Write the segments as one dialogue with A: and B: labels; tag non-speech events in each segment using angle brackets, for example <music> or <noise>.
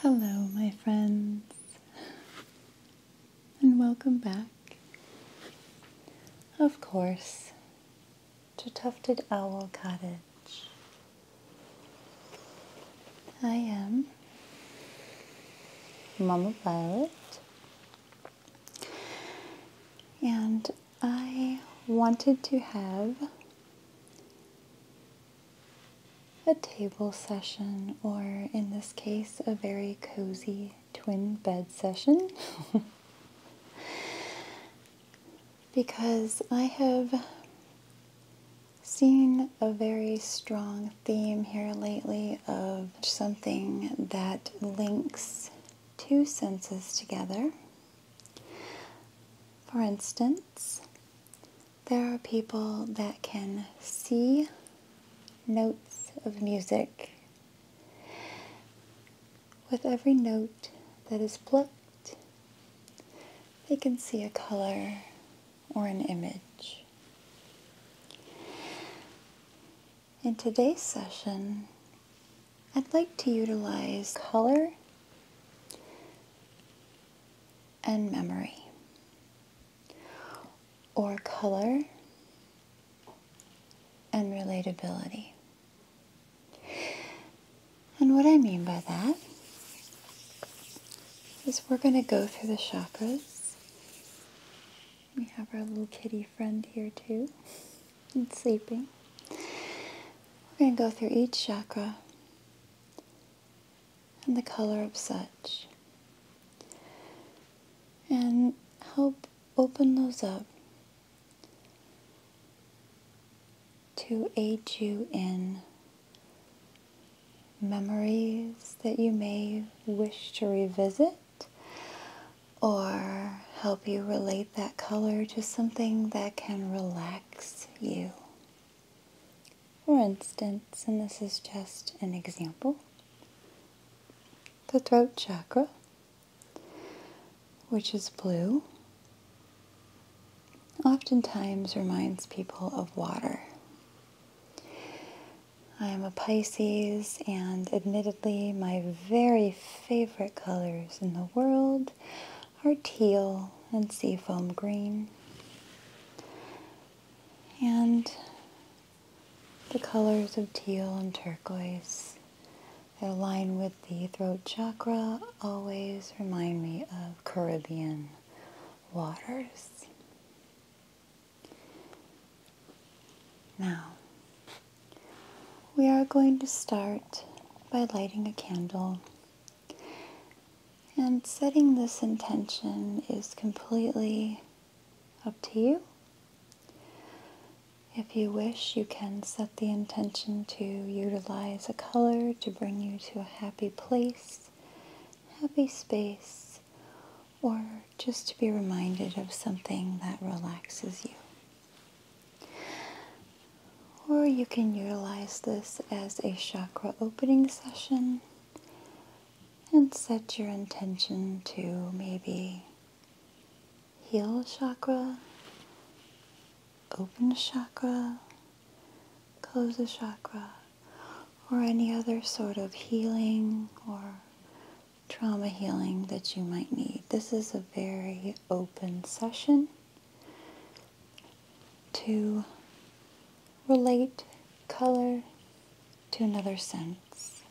A: Hello, my friends, and welcome back. Of course, to Tufted Owl Cottage. I am Mama Violet, and I wanted to have a table session, or in this case, a very cozy twin bed session. <laughs> because I have seen a very strong theme here lately of something that links two senses together. For instance, there are people that can see notes of music. With every note that is plucked, they can see a color or an image. In today's session, I'd like to utilize color and memory, or color and relatability. And what I mean by that is we're going to go through the chakras. We have our little kitty friend here too and sleeping. We're going to go through each chakra and the color of such and help open those up to aid you in memories that you may wish to revisit or help you relate that color to something that can relax you. For instance, and this is just an example, the throat chakra, which is blue, oftentimes reminds people of water. I am a Pisces, and admittedly, my very favorite colors in the world are teal and seafoam green. And the colors of teal and turquoise that align with the throat chakra always remind me of Caribbean waters. Now, we are going to start by lighting a candle. And setting this intention is completely up to you. If you wish, you can set the intention to utilize a color to bring you to a happy place, happy space, or just to be reminded of something that relaxes you. Or you can utilize this as a chakra opening session and set your intention to maybe heal chakra, open chakra, close a chakra, or any other sort of healing or trauma healing that you might need. This is a very open session to relate color to another sense.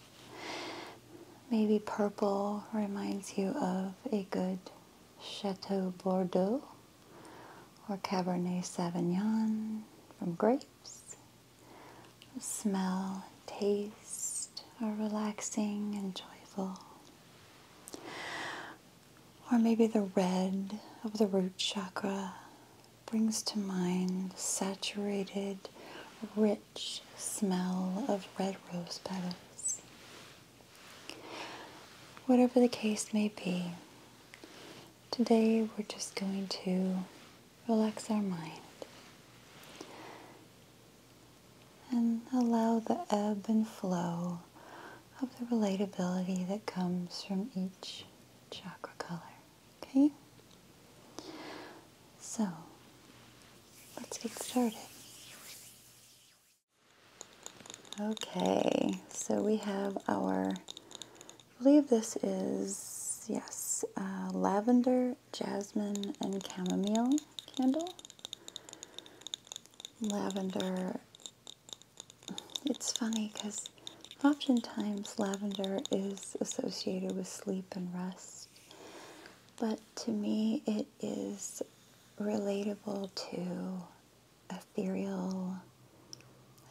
A: Maybe purple reminds you of a good Chateau Bordeaux or Cabernet Sauvignon from grapes. Smell, taste, are relaxing and joyful. Or maybe the red of the root chakra brings to mind saturated, rich smell of red rose petals. Whatever the case may be, today we're just going to relax our mind and allow the ebb and flow of the relatability that comes from each chakra color. Okay? So, let's get started. Okay, so we have our, I believe this is, yes, uh, lavender Jasmine, and Chamomile candle. Lavender, it's funny because oftentimes lavender is associated with sleep and rest, but to me it is relatable to ethereal,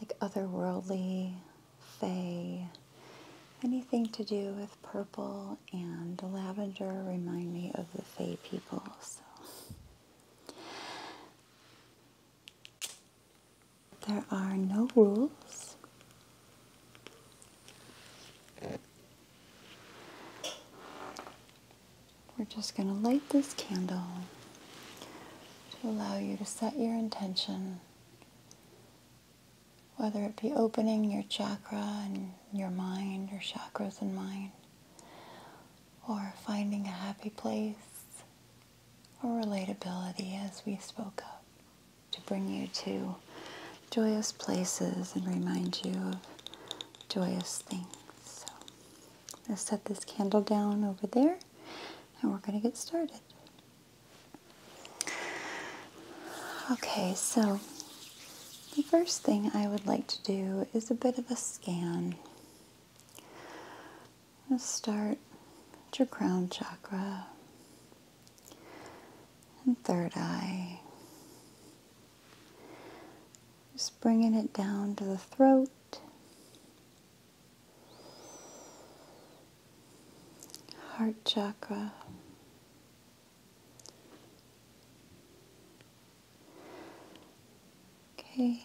A: like otherworldly, fey, Anything to do with purple and lavender remind me of the Fae people. There are no rules. We're just going to light this candle to allow you to set your intention whether it be opening your chakra and your mind, your chakras and mind, or finding a happy place or relatability as we spoke of to bring you to joyous places and remind you of joyous things. So let's set this candle down over there and we're going to get started. Okay, so the first thing I would like to do is a bit of a scan. I'm start at your crown chakra and third eye. Just bringing it down to the throat. Heart chakra, Okay.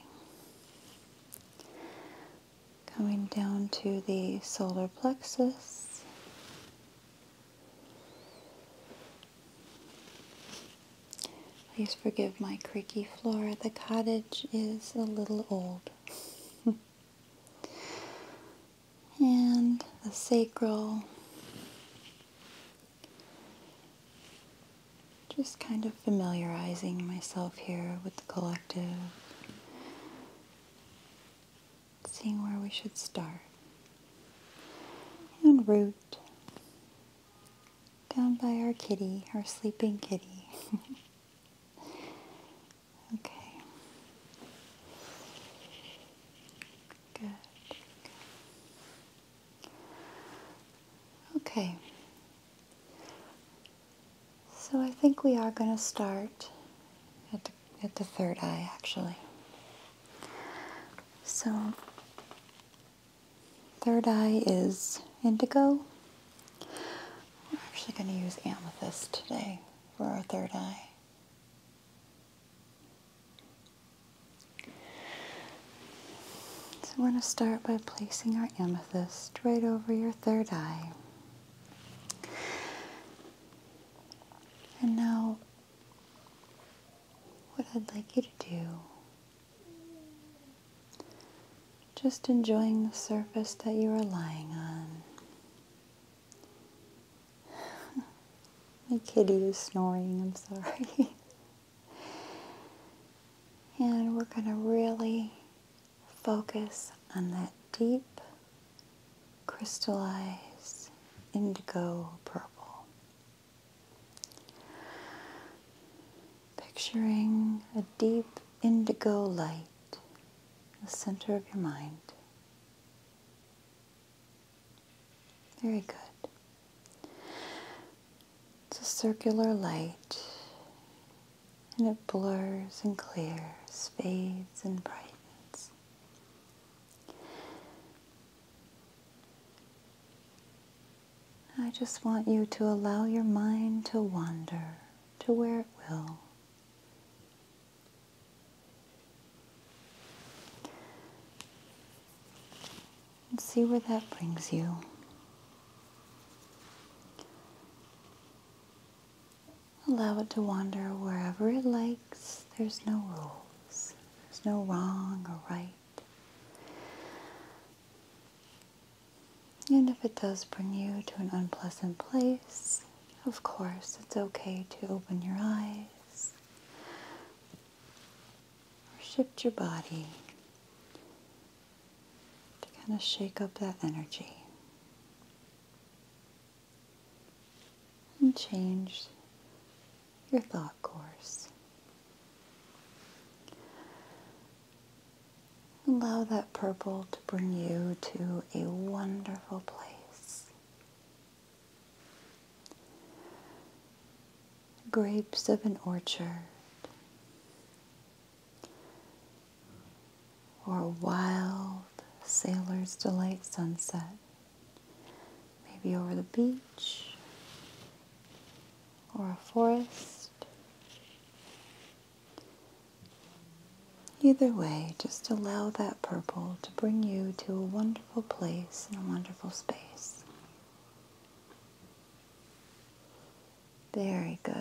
A: Coming down to the solar plexus. Please forgive my creaky floor. The cottage is a little old. <laughs> and the sacral. Just kind of familiarizing myself here with the collective, seeing where we should start. And root down by our kitty, our sleeping kitty. <laughs> okay. Good. Okay. So I think we are going to start at the, at the third eye actually. So third eye is indigo. We're actually going to use amethyst today for our third eye. So I going to start by placing our amethyst right over your third eye. And now, what I'd like you to do, just enjoying the surface that you are lying on. <sighs> My kitty is snoring, I'm sorry. <laughs> and we're going to really focus on that deep, crystallized indigo purple. Picturing a deep indigo light, the center of your mind. Very good. It's a circular light and it blurs and clears, fades and brightens. I just want you to allow your mind to wander to where it will and see where that brings you. Allow it to wander wherever it likes. There's no rules. There's no wrong or right. And if it does bring you to an unpleasant place, of course, it's okay to open your eyes or shift your body to kind of shake up that energy and change your thought course. Allow that purple to bring you to a wonderful place Grapes of an orchard, or a wild sailor's delight sunset, maybe over the beach or a forest. Either way, just allow that purple to bring you to a wonderful place and a wonderful space. Very good.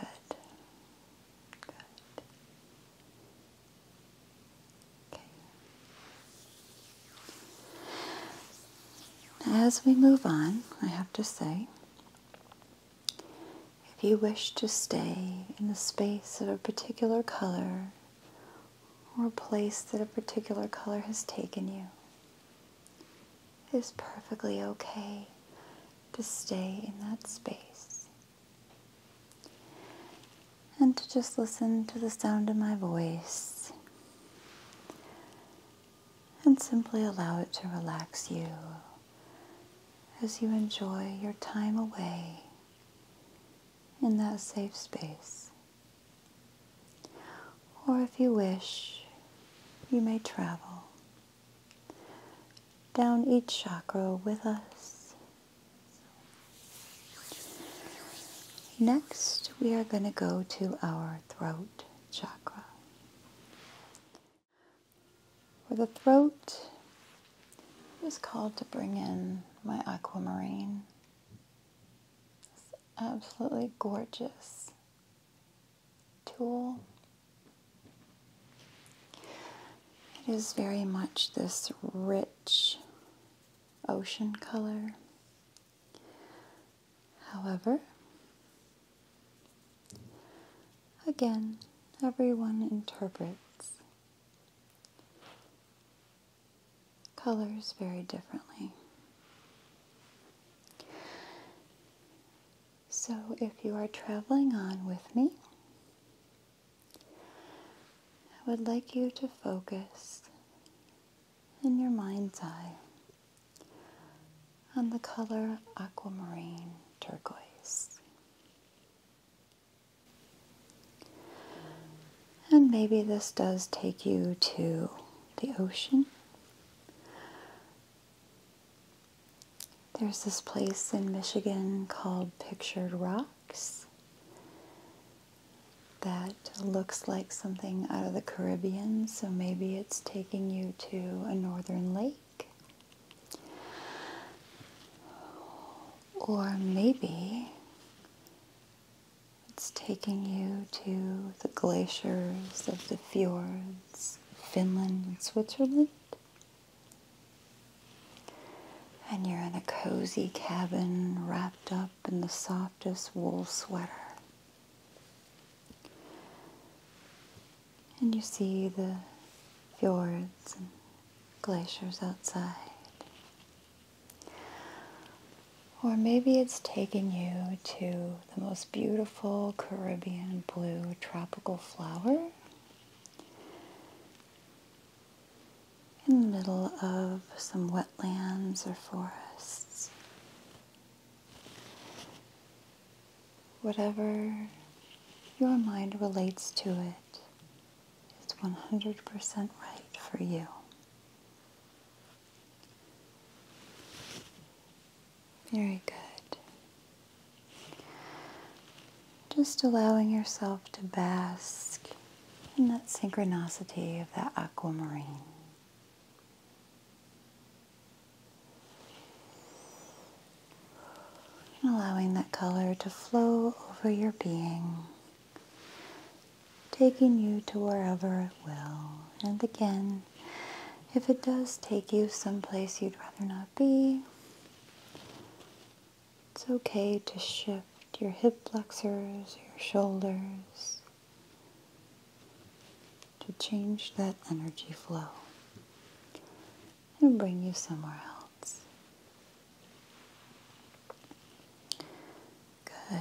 A: As we move on, I have to say, if you wish to stay in the space of a particular color or a place that a particular color has taken you, it is perfectly okay to stay in that space and to just listen to the sound of my voice and simply allow it to relax you as you enjoy your time away in that safe space. Or if you wish, you may travel down each chakra with us. Next, we are going to go to our throat chakra. For the throat, I was called to bring in my aquamarine. It's absolutely gorgeous tool. It is very much this rich ocean color. However, again, everyone interprets colors very differently. So, if you are traveling on with me, I would like you to focus in your mind's eye on the color aquamarine turquoise. And maybe this does take you to the ocean. There's this place in Michigan called Pictured Rocks that looks like something out of the Caribbean, so maybe it's taking you to a northern lake. Or maybe it's taking you to the glaciers of the fjords, Finland and Switzerland. And you're in a cozy cabin wrapped up in the softest wool sweater. And you see the fjords and glaciers outside. Or maybe it's taking you to the most beautiful Caribbean blue tropical flower in the middle of some wetlands or forests. Whatever your mind relates to it, it's 100% right for you. Very good. Just allowing yourself to bask in that synchronicity of that aquamarine. And allowing that color to flow over your being taking you to wherever it will. And again, if it does take you someplace you'd rather not be, it's okay to shift your hip flexors, your shoulders, to change that energy flow and bring you somewhere else. Good.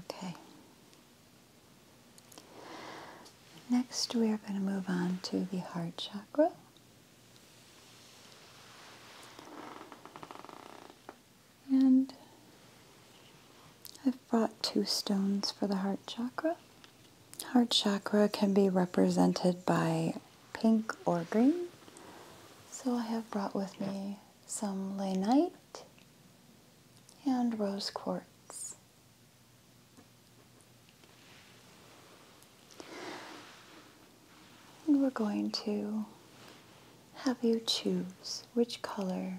A: Okay. Next, we are going to move on to the heart chakra. And brought two stones for the heart chakra. Heart chakra can be represented by pink or green. So I have brought with me some lanite and rose quartz. And we're going to have you choose which color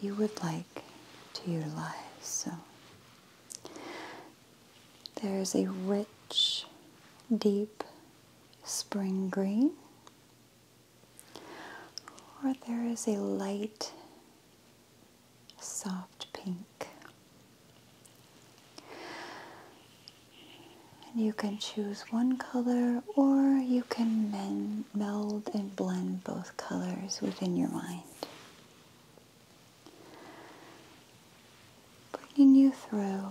A: you would like to utilize. So there is a rich, deep spring green, or there is a light, soft pink. And you can choose one color or you can meld and blend both colors within your mind. Bringing you through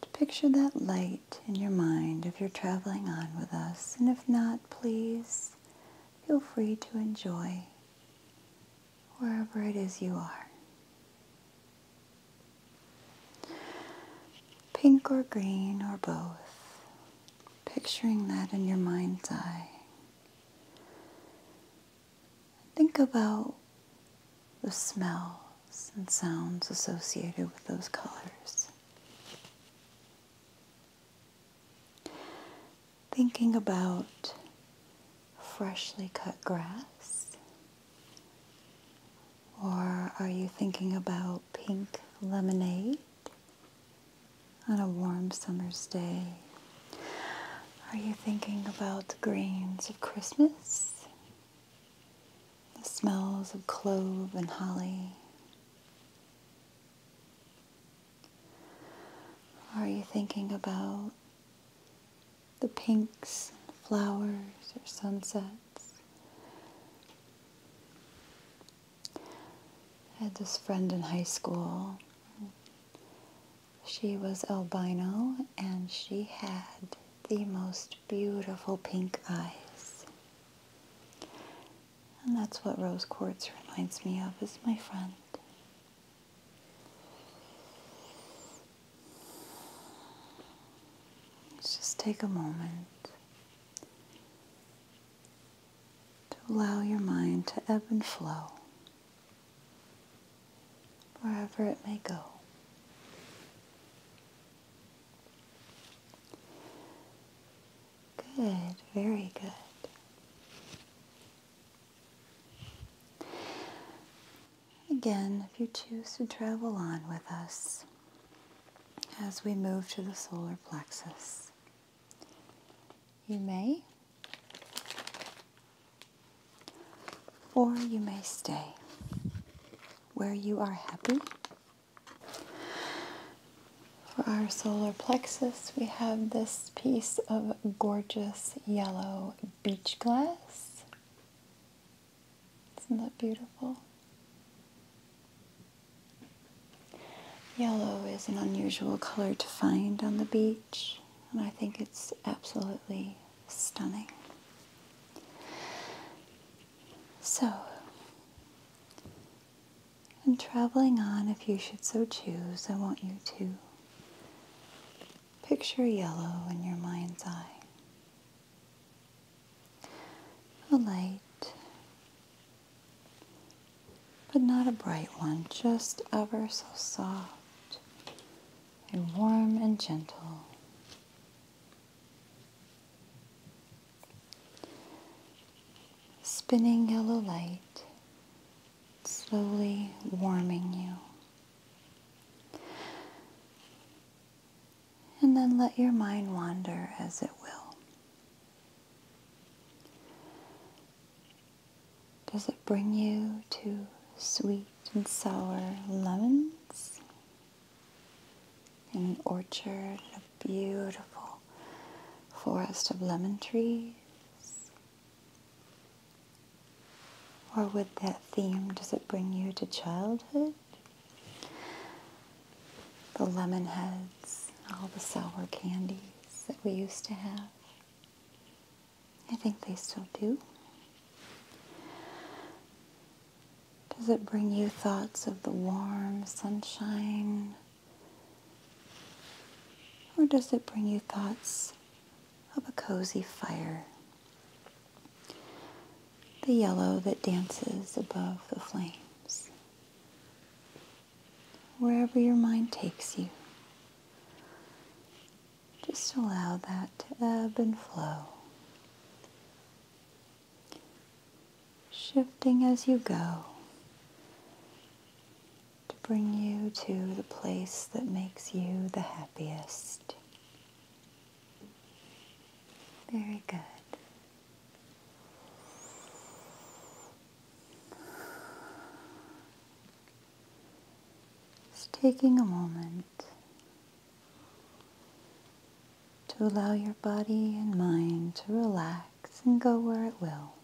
A: to picture that light in your mind if you're traveling on with us. And if not, please feel free to enjoy wherever it is you are. Pink or green or both, picturing that in your mind's eye. Think about the smells and sounds associated with those colors. Thinking about freshly cut grass? Or are you thinking about pink lemonade? on a warm summer's day? Are you thinking about the greens of Christmas? The smells of clove and holly? Are you thinking about the pinks, and flowers, or sunsets? I had this friend in high school. She was albino and she had the most beautiful pink eyes. And that's what rose quartz reminds me of is my friend. Let's just take a moment to allow your mind to ebb and flow wherever it may go. Good, very good. Again, if you choose to travel on with us as we move to the solar plexus, you may, or you may stay where you are happy. For our solar plexus, we have this piece of gorgeous yellow beach glass. Isn't that beautiful? Yellow is an unusual color to find on the beach, and I think it's absolutely stunning. So, and traveling on, if you should so choose, I want you to picture yellow in your mind's eye. A light but not a bright one, just ever so soft and warm and gentle. Spinning yellow light, slowly warming you. And then let your mind wander as it will. Does it bring you to sweet and sour lemons in an orchard, a beautiful forest of lemon trees? Or with that theme, does it bring you to childhood? the lemon heads, all the sour candies that we used to have. I think they still do. Does it bring you thoughts of the warm sunshine? Or does it bring you thoughts of a cozy fire? The yellow that dances above the flames wherever your mind takes you. Just allow that to ebb and flow, shifting as you go to bring you to the place that makes you the happiest. Very good. It's taking a moment to allow your body and mind to relax and go where it will.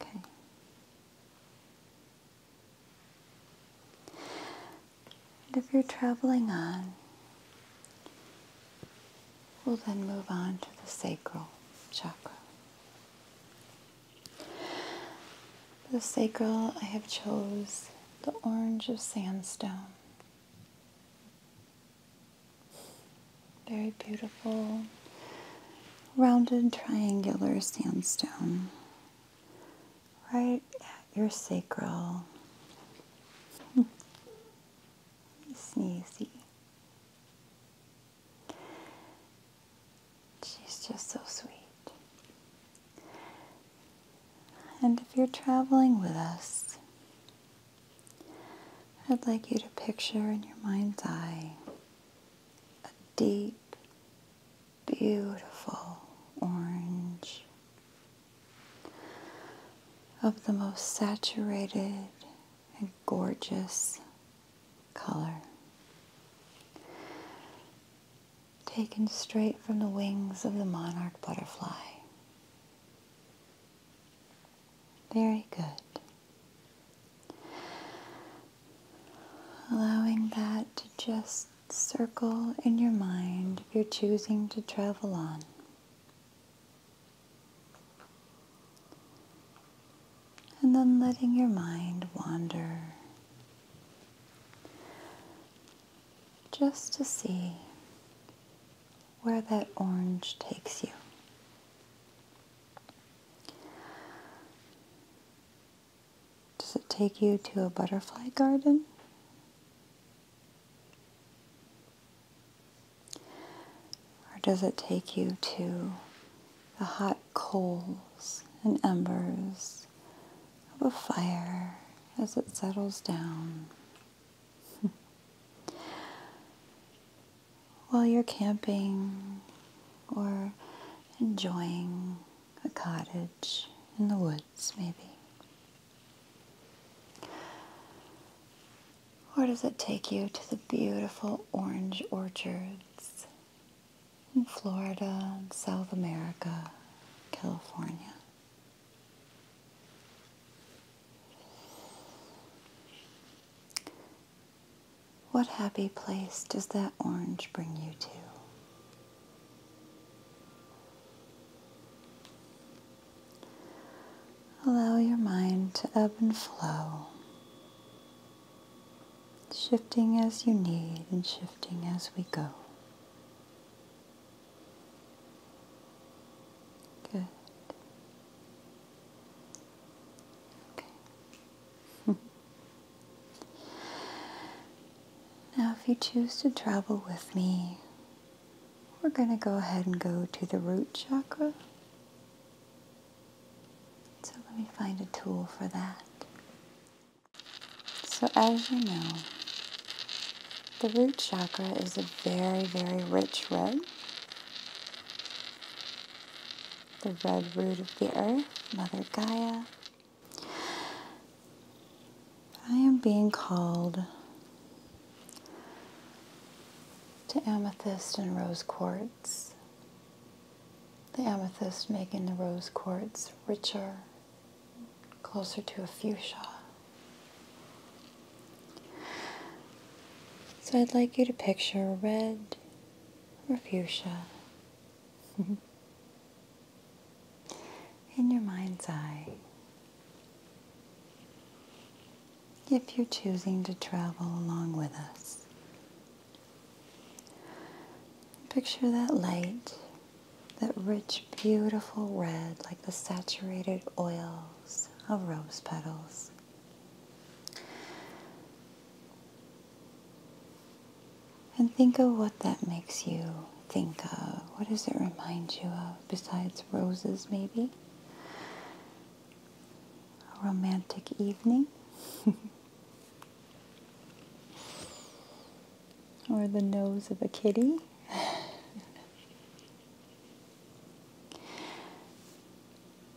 A: Okay. And if you're traveling on, we'll then move on to the sacral chakra. the sacral, I have chose the orange of sandstone. Very beautiful, rounded triangular sandstone right at your sacral. Sneezy. She's just so sweet. And if you're traveling with us, I'd like you to picture in your mind's eye a deep, beautiful orange of the most saturated and gorgeous color. Taken straight from the wings of the monarch butterfly. Very good. Allowing that to just circle in your mind you're choosing to travel on. And then letting your mind wander just to see where that orange takes you. Does it take you to a butterfly garden? Or does it take you to the hot coals and embers of a fire as it settles down? <laughs> While you're camping or enjoying a cottage in the woods maybe? Or does it take you to the beautiful orange orchards in Florida South America, California? What happy place does that orange bring you to? Allow your mind to ebb and flow, shifting as you need and shifting as we go. Good. Okay. <laughs> now, if you choose to travel with me we're going to go ahead and go to the root chakra. So let me find a tool for that. So as you know, the root chakra is a very, very rich red. The red root of the earth, Mother Gaia. I am being called to amethyst and rose quartz. The amethyst making the rose quartz richer, closer to a fuchsia. So I'd like you to picture red or fuchsia. <laughs> in your mind's eye. If you're choosing to travel along with us, picture that light, that rich, beautiful red, like the saturated oils of rose petals. And think of what that makes you think of? What does it remind you of besides roses, maybe? A romantic evening? <laughs> or the nose of a kitty? <laughs>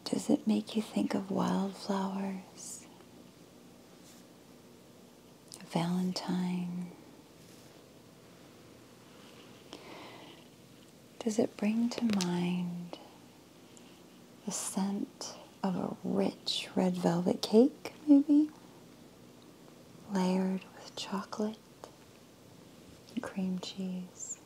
A: Does it make you think of wildflowers? Valentine. Does it bring to mind the scent of a rich red velvet cake, maybe? Layered with chocolate and cream cheese.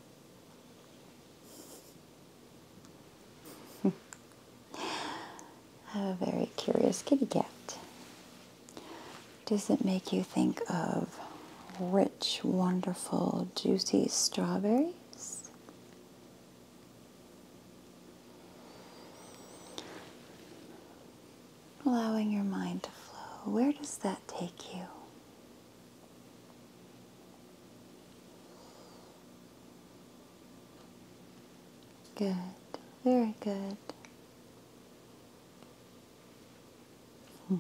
A: <laughs> a very curious kitty cat does it make you think of rich, wonderful, juicy strawberries? Allowing your mind to flow. Where does that take you? Good, very good. Hmm.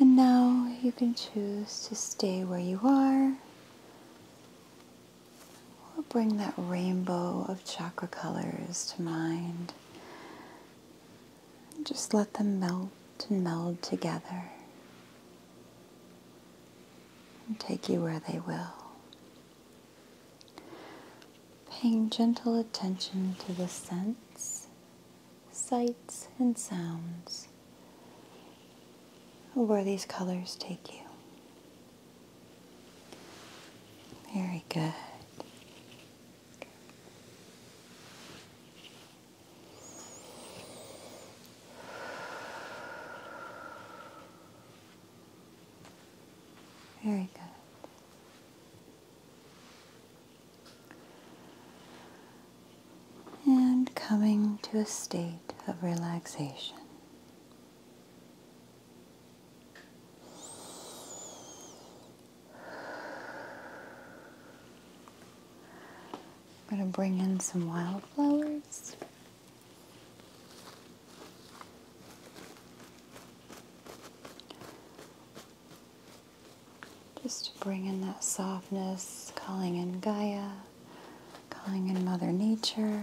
A: And now you can choose to stay where you are or bring that rainbow of chakra colors to mind. And just let them melt and meld together and take you where they will. Paying gentle attention to the scents, sights, and sounds where these colors take you. Very good. Very good. And coming to a state of relaxation. I'm going to bring in some wildflowers. Just to bring in that softness, calling in Gaia, calling in Mother Nature,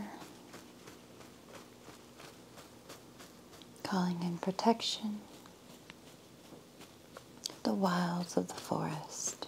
A: calling in protection, the wilds of the forest.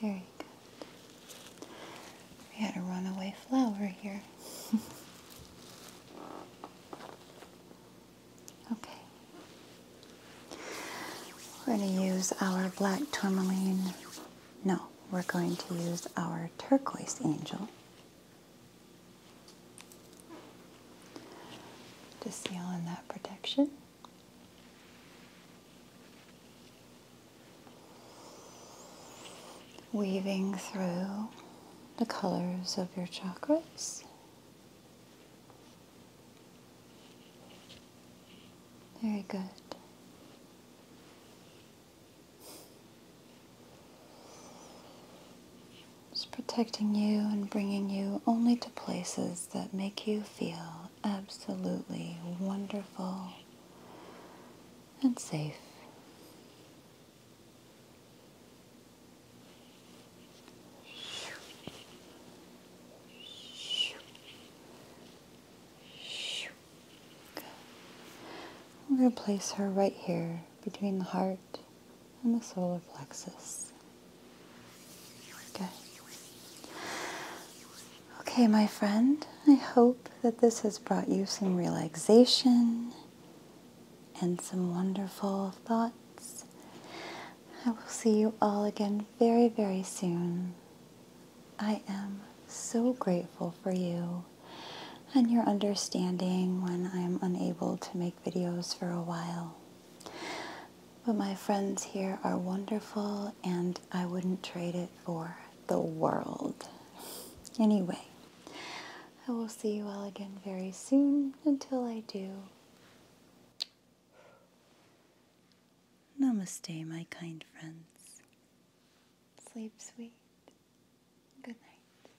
A: There Very go. We had a runaway flower here. <laughs> okay. We're going to use our black tourmaline. No, we're going to use our turquoise angel. To seal in that protection weaving through the colors of your chakras. Very good. Just protecting you and bringing you only to places that make you feel absolutely wonderful and safe. I'm going to place her right here between the heart and the solar plexus. Good. Okay, my friend, I hope that this has brought you some relaxation and some wonderful thoughts. I will see you all again very, very soon. I am so grateful for you and your understanding when I'm unable to make videos for a while. But my friends here are wonderful and I wouldn't trade it for the world. Anyway, I will see you all again very soon. Until I do, namaste, my kind friends. Sleep sweet. Good night.